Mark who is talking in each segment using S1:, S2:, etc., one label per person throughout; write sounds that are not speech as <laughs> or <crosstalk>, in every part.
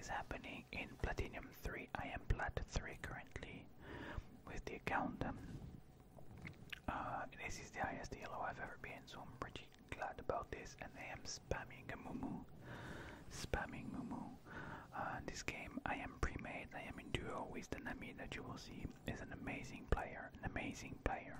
S1: is happening in Platinum 3. I am Plat 3 currently with the account. Um, uh, this is the highest yellow I've ever been, so I'm pretty glad about this. And I am spamming a Mumu. Spamming Mumu. Uh, this game, I am pre-made. I am in duo with the Nami that you will see is an amazing player. An amazing player.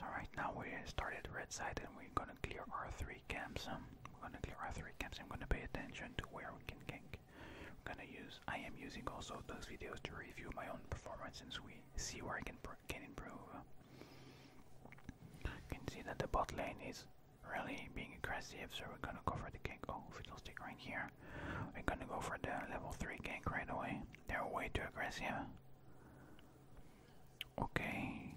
S1: So right now we started red side and we're gonna clear R3 three camps. Um, we're gonna clear our three camps. I'm gonna pay attention to where we can gank. I'm gonna use. I am using also those videos to review my own performance since we see where I can can improve. You can see that the bot lane is really being aggressive, so we're gonna go for the gank. Oh, fiddle stick right here. We're gonna go for the level three gank right away. They're way too aggressive. Okay,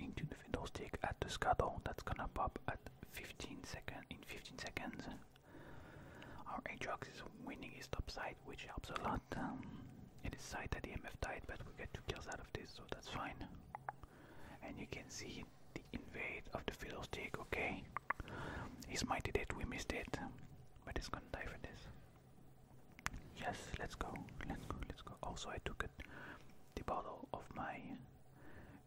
S1: into the fiddlestick at the Scuttle that's gonna pop at fifteen seconds. in 15 seconds. Our Aatrox is winning his top side, which helps a lot. Um, it is side that the MF died, but we get two kills out of this, so that's fine. And you can see the invade of the fiddlestick, okay? he's mighty it, we missed it, but it's gonna die for this. Yes, let's go, let's go, let's go. Also, I took it, the bottle of my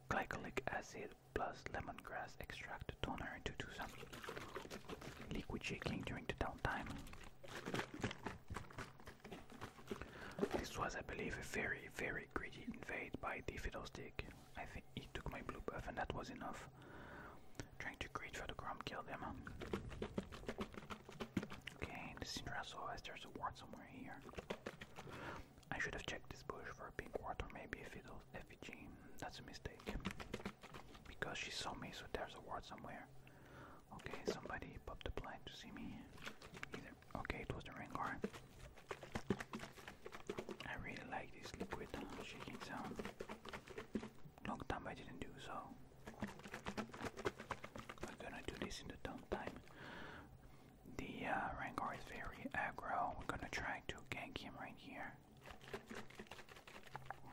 S1: glycolic acid plus lemongrass extract toner to do some liquid shaking during the downtime. This was, I believe, a very, very greedy invade by the Fiddlestick. I think he took my blue buff, and that was enough. Trying to greed for the Grom kill them. Okay, the Sindra oh, there's a ward somewhere here. I should have checked this bush for a pink ward or maybe a fiddle effigy. That's a mistake. Because she saw me, so there's a ward somewhere. Okay, somebody popped the blind to see me. Okay, it was the Rengar. I really like this liquid shaking sound long time I didn't do so. We're gonna do this in the dump time. The uh, Rancor is very aggro. We're gonna try to gank him right here.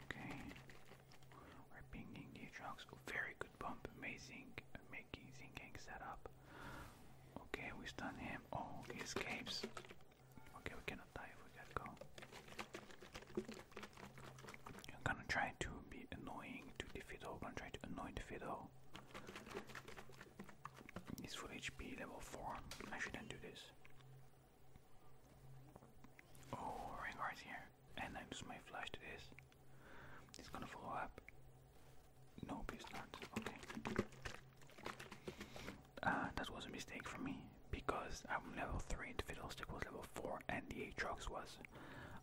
S1: Okay. We're pinging the Aatrox. Very good bump. Amazing. Amazing gank setup. Okay, we stun him. Oh, he escapes. Okay, we cannot die if we got go. I'm gonna try to be annoying to the fiddle. I'm gonna try to annoy the fiddle. He's full HP, level 4. I shouldn't do this. Oh, right here. And I lose my flash to this. He's gonna follow up. Nope, he's not. Okay. Ah, that was a mistake for me because I'm level 3, and the fiddle stick was level 4, and the Aatrox was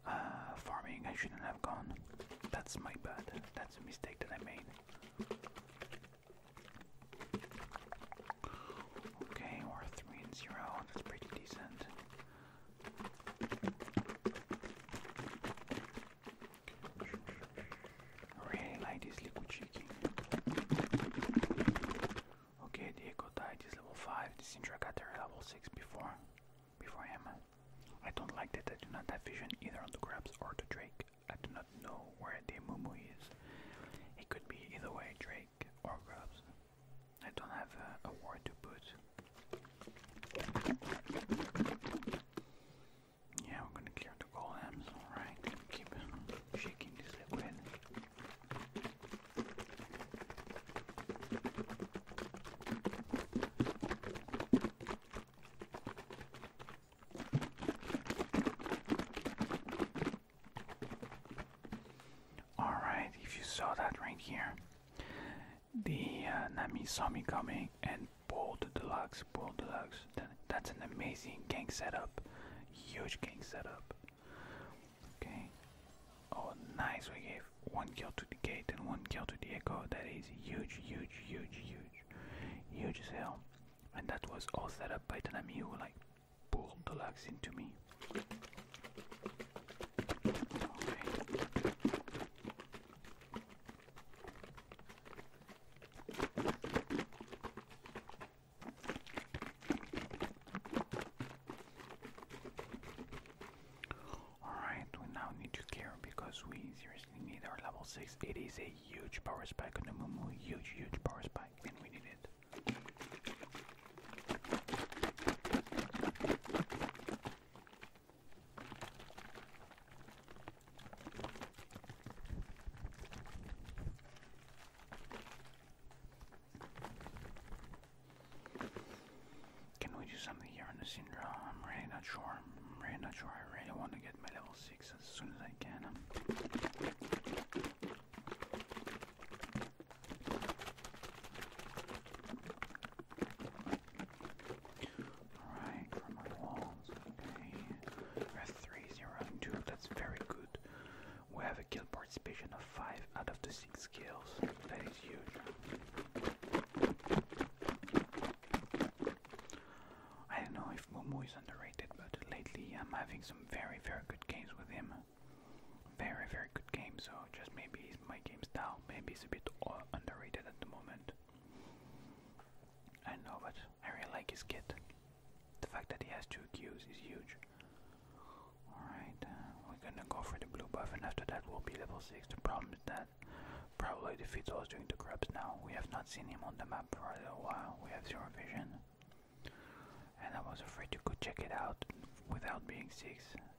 S1: uh, farming. I shouldn't have gone. That's my bad. That's a mistake that I made. Okay, we're That's pretty decent. really like this liquid chicken. Okay, Diego died. He's level 5. This Syndra got there level 6 before before him. I don't like that I do not have vision either on the Grabs or the Drake. I do not know where the Mumu is. It could be either way, Drake or Grabs. I don't have a, word to put. Yeah, we're gonna clear the golems, alright. Keep shaking this liquid. All right, if you saw that right here, the uh, Nami saw me coming and pulled the locks. pulled the locks. That's an amazing gang setup, huge gang setup. Okay. Oh, nice. We gave one kill to the gate and one kill to the echo. That is huge, huge, huge, huge, huge as hell. And that was all set up by Tanami who like pulled the lugs into me. Alright, we now need to care because we seriously need our level 6. It is a huge power spike on the Momo. huge, huge power spike, and we need it. Can we do something here on the syndrome? I'm really not sure. I'm really not sure. I really want to get my level 6 as soon as I can. Alright, for my okay. we that's very good. We have a kill participation of five out of the six kills. That is huge. I don't know if Momo is underrated, but lately I'm having some very, very good games with him. Very, very good game, so just maybe it's my game style. Maybe he's a bit underrated at the moment. I know, but I really like his kit. The fact that he has two Qs is huge. Alright, uh, we're gonna go for the blue buff, and after that we will be level 6. The problem is that probably defeats us during the grabs now. We have not seen him on the map for a little while. We have zero vision. And I was afraid you could check it out without being 6,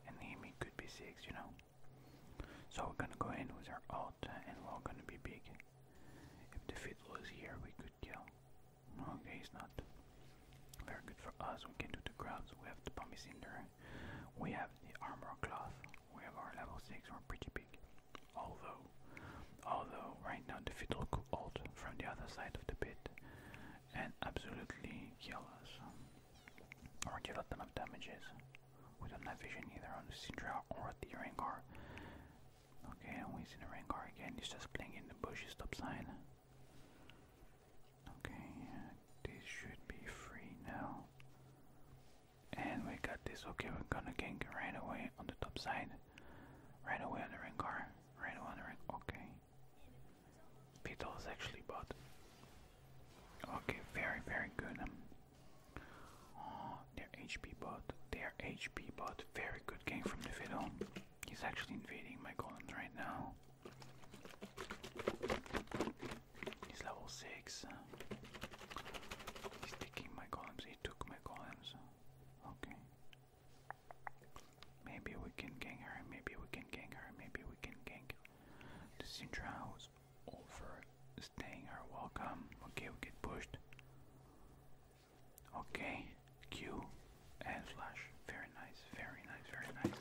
S1: and him he could be 6, you know. So we're gonna go in with our alt, and we're gonna be big. If the fiddle is here, we could kill. Okay, he's not. Very good for us. We can do the grubs. We have the Pommy Cinder. We have the Armor Cloth. We have our level 6 we We're pretty big. Although, although right now the fit look old from the other side of the pit and absolutely kill us. Or get a lot of damages. We don't have vision either on the Syndra or the Rengar. Okay, and we see the Rengar again. He's just playing in the bushes top sign. Okay, this should be free now. And we got this. Okay, we're gonna gain right away on the top side. Right away on the ring car. Right away on the Rengar. Okay. Beetle is actually bought. Okay, very, very good. Um, oh, their HP bot. Their HP bot. Very good game from the Fiddle. He's actually invading my columns right now. He's level 6. He's taking my golems. He took my golems. Okay. Maybe we can gang her. Maybe we can gang her. Maybe we can gang the Sindra over staying Welcome. Okay, we get pushed. Okay. Q and flash. Very nice. Very nice. Very nice.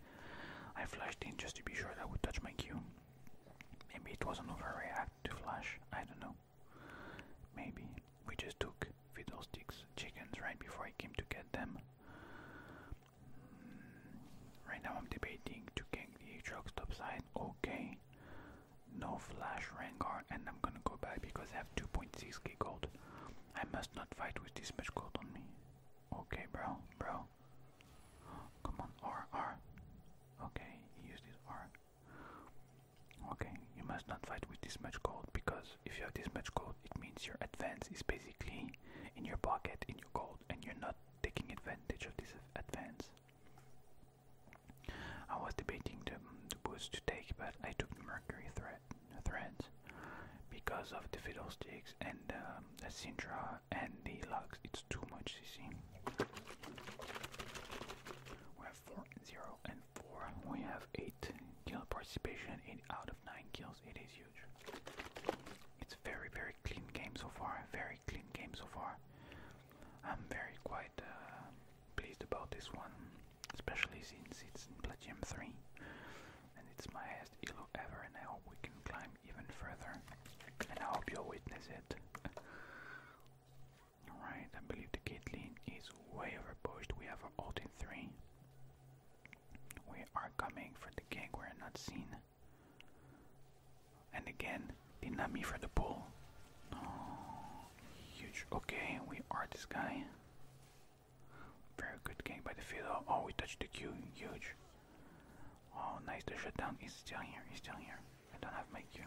S1: I flashed in just to be sure that would touch my cue. Maybe it was an overreact to flash, I don't know. Maybe we just took fiddlesticks chickens right before I came to get them. Mm, right now I'm debating to get the truck stop sign. Okay. No flash Rengar and I'm gonna go back because I have 2.6k gold. I must not fight with this much gold on me. Okay, bro, bro. Come on, R, R. Okay, he used R. Okay, you must not fight with this much gold because if you have this much gold, it means your advance is basically in your pocket, in your gold, and you're not taking advantage of this advance. I was debating the, mm, the boost to take, but I took the Mercury threat threads because of the Fiddlesticks and um, the Sintra and the Lux. It's too much CC. We have 4, and 4. We have 8 kill participation, 8 out of 9 kills. It is huge. It's very, very clean game so far. Very clean game so far. I'm very quite uh, pleased about this one, especially since it's in Platinum 3 and it's my highest elo ever and I hope we can climb even further and I hope you'll witness it. Alright, I believe the Caitlyn is way overpushed. We have our ult in 3. We are coming for the gank, we're not seen. And again, the for the pull. Oh, huge. Okay, we are this guy. Very good game by the field. Oh, oh we touched the Q. Huge. Oh, nice. The shutdown is still here. He's still here. I don't have my Q.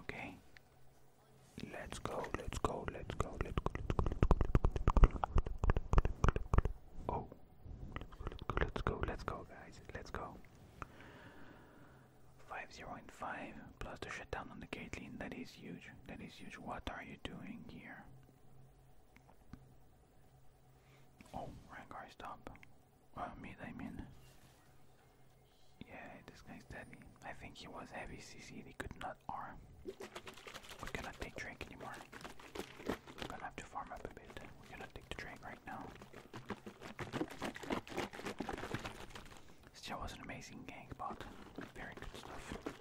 S1: Okay. Let's go. Let's go. Let's go. Let's go. Oh. Let's go. Let's go, guys. Let's go. 5 0 and 5 plus the shutdown on the gate lean. That is huge. That is huge. What are you doing here? Oh, Rengar, stop. Well, mid, I mean. Yeah, this guy's dead. I think he was heavy CC. He could not arm. We cannot take Drake anymore. We're gonna have to farm up a bit. We're take the Drake right now. Still was an amazing gank, but very good stuff.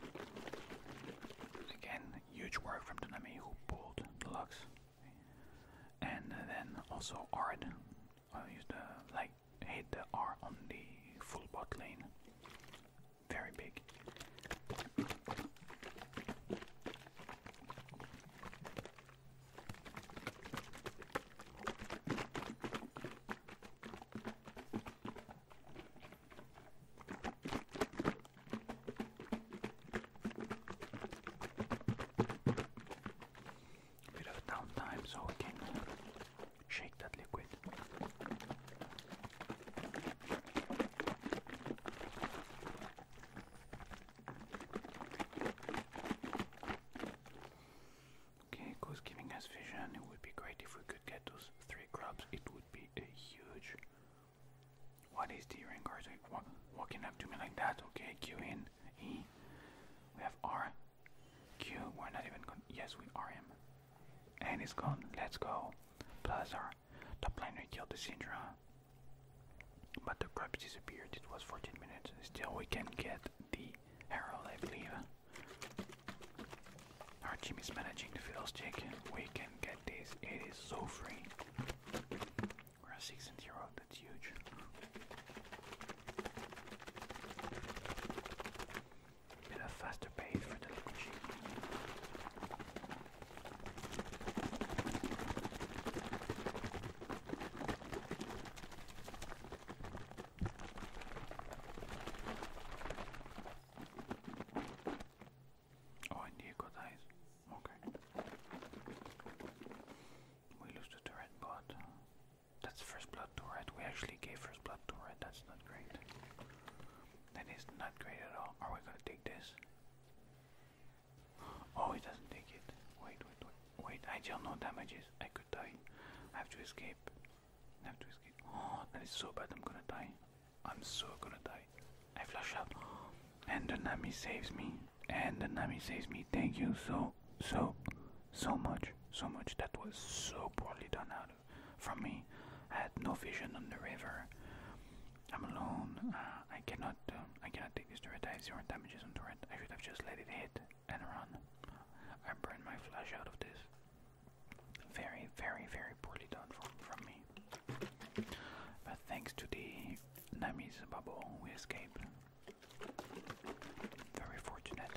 S1: Again, huge work from Tanami who pulled the Deluxe. And then also Ard. used like hit the R on the full bot lane. Very big. Bit of downtime so we can shake that liquid. Okay, goes giving us vision. It would be great if we could get those three grubs, it would be a huge. What is the Rengar's like walking up to me like that? Okay, Q in E. We have R. Q. We're not even going. Yes, we are And it's gone. Let's go. Plus our top laner killed the Syndra. But the grubs disappeared. It was 14 minutes. Still, we can get the arrow, I believe. Our team managing the Fiddlestick. We can get this. It is so free. We're at 6 That's huge. Bit of faster pace for the little Oh, and you got eyes. Okay. We lose to the red That's first blood to We actually gave first blood to That's not great. That is not great at all. Are we gonna take this? Oh, it doesn't take it. Wait, wait, wait. Wait, I deal no damages. I could die. I have to escape have to escape. Oh, that is so bad. I'm gonna die. I'm so gonna die. I flash out. And the Nami saves me. And the Nami saves me. Thank you so, so, so much. So much. That was so poorly done out of, from me. I had no vision on the river. I'm alone. Uh, I cannot. Um, I cannot take this turret. I have zero damages on turret. I should have just let it hit and run. I burned my flash out of this. Very, very, very poorly done from, from me. But thanks to the Nami's bubble, we escape. Very fortunate.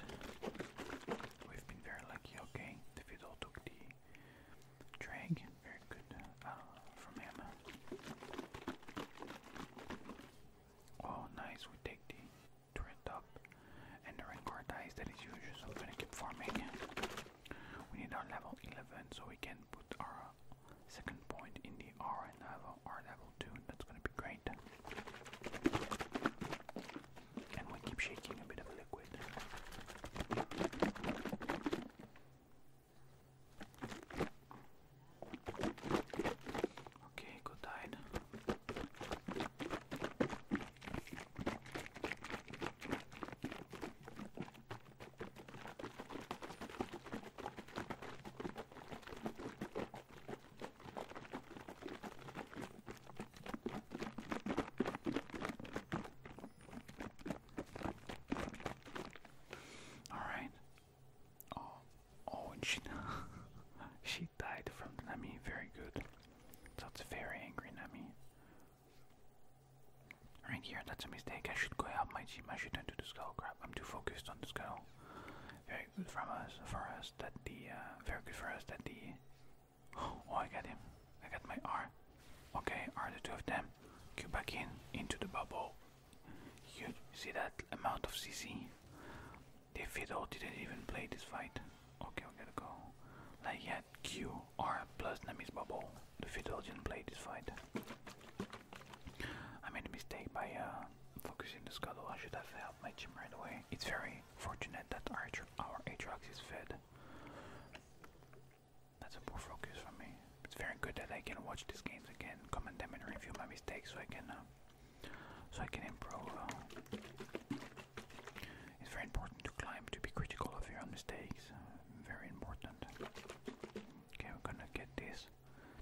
S1: We've been very lucky, okay? The fiddle took the drag. Very good uh, from him. Oh, nice. We take the turret up and the Rancor that is used, so I'm gonna keep farming. We need our level 11 so we can put our second point in the R and have our level 2, that's gonna be great. And we keep shaking a bit of liquid. Okay, good died. All right. Oh, oh, she, <laughs> she died from Nami. Very good. That's very angry, Nami. Right here, that's a mistake. I should go out my team. I shouldn't do the skull oh, crap. I'm too focused on the skull. Very good from us for us that the uh, very good for us that the <gasps> oh, I got him. I got my R. Okay, are the two of them. Go back in into the bubble. You see that amount of CC? The fiddle didn't even play this fight. Ok, ok, d'accord. Là, il y a Q, R, plus Namis Bubble. The Fiddle didn't play this fight. I made a mistake by uh, focusing the scuttle. I should have helped my team right away. It's very fortunate that our, our Aatrox is fed. That's a poor focus for me. It's very good that I can watch these games again, comment them, and review my mistakes so I can, uh, so I can improve. Uh, it's very important to climb, to be critical of your own mistakes. Uh, very important. Okay, we're gonna get this.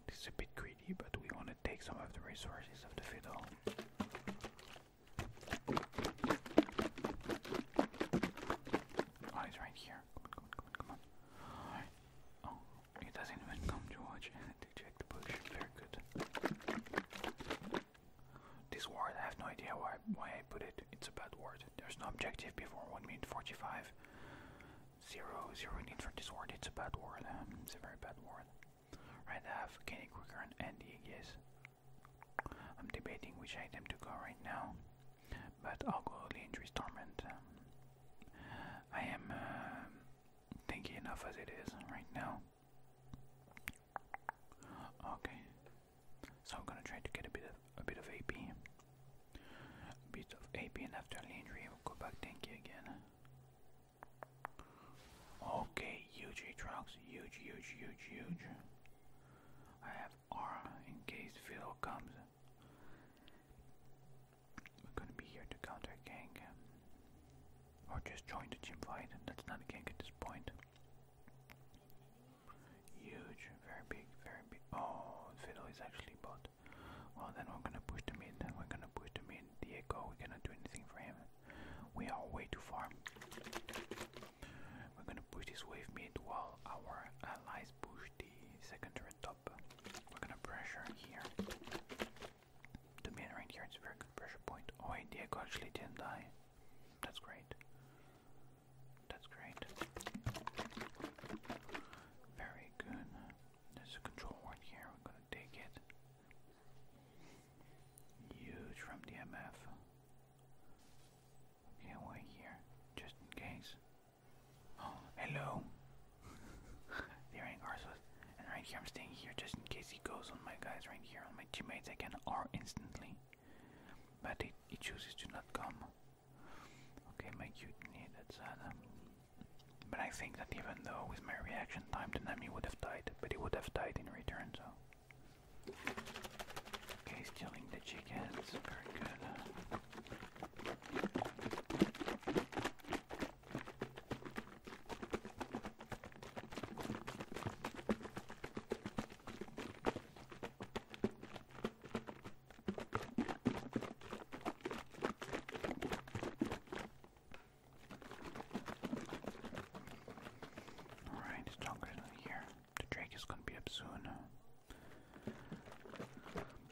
S1: This is a bit greedy, but we want to take some of the resources of the fiddle. Oh, it's right here. Come on, come on, come on, Oh, it doesn't even come to watch <laughs> to check the bush. Very good. This word, I have no idea why why I put it. It's a bad word. There's no objective before one minute forty-five. Zero, zero need for this word. It's a bad word. Um, it's a very bad word. Right, I have Kenny Quicker and Andy. Yes. I'm debating which item to go right now, but I'll go Leandry's Torment. Um, I am um, thinking enough as it is right now. Okay, so I'm gonna try to get a bit of a bit of AP. bit of AP and after Landry we'll go back tanky again. Okay, huge trucks, huge, huge, huge, huge. I have arm in case Phil comes. We're gonna be here to counter gank. Or just join the gym fight. That's not a gank at this point. Huge, very big, very big. Oh, Fiddle is actually bought. Well, then we're gonna push the mid. We're gonna push the mid. Diego, we cannot do anything for him. We are way too far. We're gonna push this wave mid while our allies push the second turret top. We're gonna pressure here. The main right here is a very good pressure point. Oh, and Diego actually didn't die. That's great. That's great. Very good. There's a control word here. We're gonna take it. Huge from DMF. Okay, we here. Just in case. Oh, <gasps> hello. <laughs> there ain't Garsos. And right here, I'm staying here just in case he goes on my guys right here, on my teammates. I can instantly but he chooses to not come. Okay, my mutiny, that's sad. But I think that even though with my reaction time, the Nami would have died, but he would have died in return, so. Okay, stealing the chickens, very good. Alright, Stalker's not here. Drake is gonna be up soon.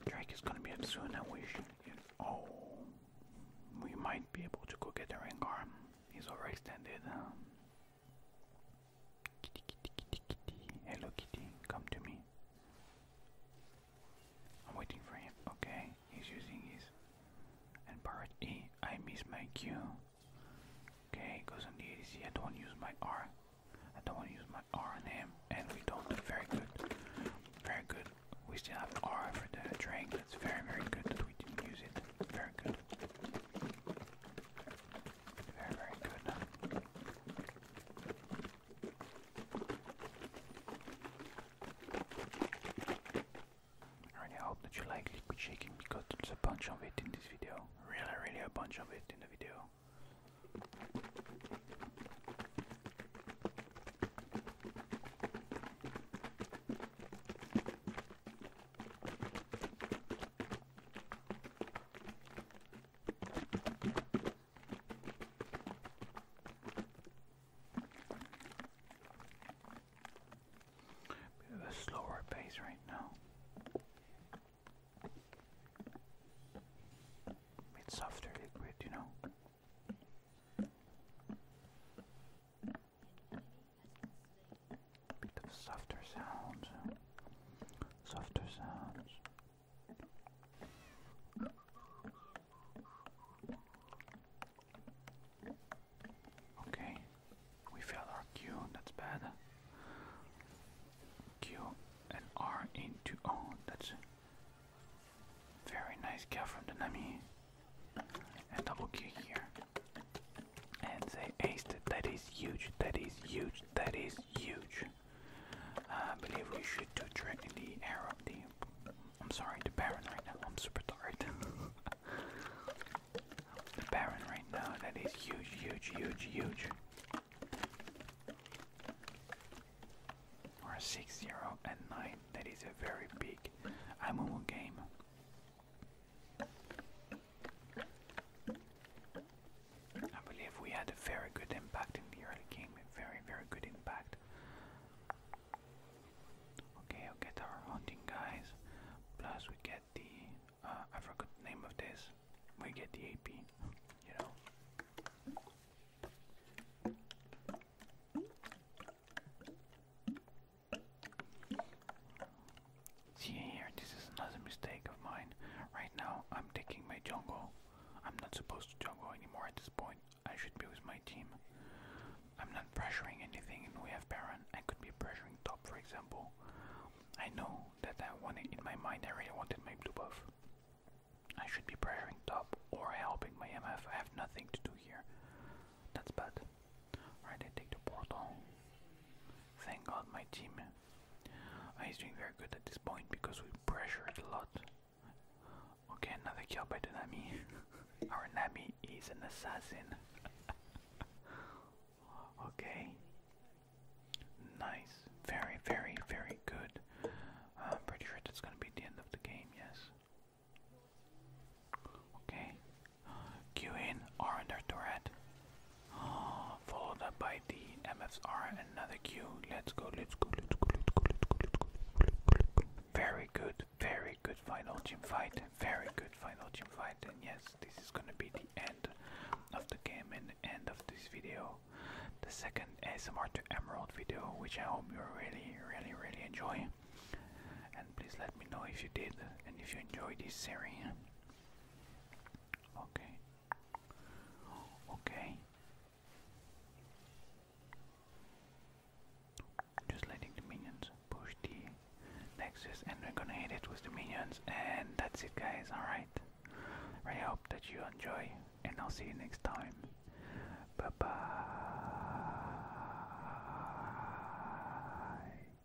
S1: Drake is gonna be up soon, I wish. Oh, we might be able to go get the Rengar. He's overextended. Hello, kitty. Come to me. I'm waiting for him. Okay, he's using his. And part E. I miss my Q. Okay, goes on the ADC. don't use my R. I don't want to use my R on him. And we don't. Very good. Very good. We still have R for the drink. That's very, very good that we didn't use it. Very good. Very, very good. I really hope that you like liquid shaking because there's a bunch of it in this video. Really, really a bunch of it in the video a slower pace right now. Bit softer liquid, you know bit of softer sounds, softer sounds. Okay, we failed our Q, that's bad. Q and R into oh, that's a very nice kill from the Nami. And double kick here and they aced That is huge. That is huge. That is huge. I believe we should do directly the arrow. The I'm sorry, the Baron right now. I'm super tired. <laughs> the Baron right now. That is huge, huge, huge, huge. Or six zero and nine. That is a very big Amumu game. I believe we had a very good impact in the early game, a very, very good impact. Okay, i get our hunting guys, plus we get the, uh, I forgot the name of this, we get the AP, you know. See here, this is another mistake of mine. Right now, I'm taking my jungle. I'm not supposed to jungle anymore at this point. I should be with my team. I'm not pressuring anything, and we have Baron. I could be pressuring top, for example. I know that I wanted, in my mind, I really wanted my blue buff. I should be pressuring top or helping my MF. I have nothing to do here. That's bad. Alright, I take the portal. Thank god my team He's uh, doing very good at this point because we pressured a lot. Okay, another kill by the Nami. <laughs> Our Nami is an assassin. <laughs> okay. Nice. Very, very, very good. I'm pretty sure that's gonna be the end of the game, yes. Okay, Q in R under turret. <gasps> followed up by the MFR another Q. Let's go, let's go, let's go, let's go, let's go, let's go, let's go, let's go. Very good, very good final gym fight. Very good final gym fight. And yes, this is gonna be the end of the game and the end of this video. The second ASMR to Emerald video, which I hope you really, really, really enjoy. And please let me know if you did and if you enjoyed this series. Okay. Okay. Just letting the minions push the Nexus, and we're gonna hit it with the minions, and that's it, guys. Alright. I hope that you enjoy, and I'll see you next time. Bye bye.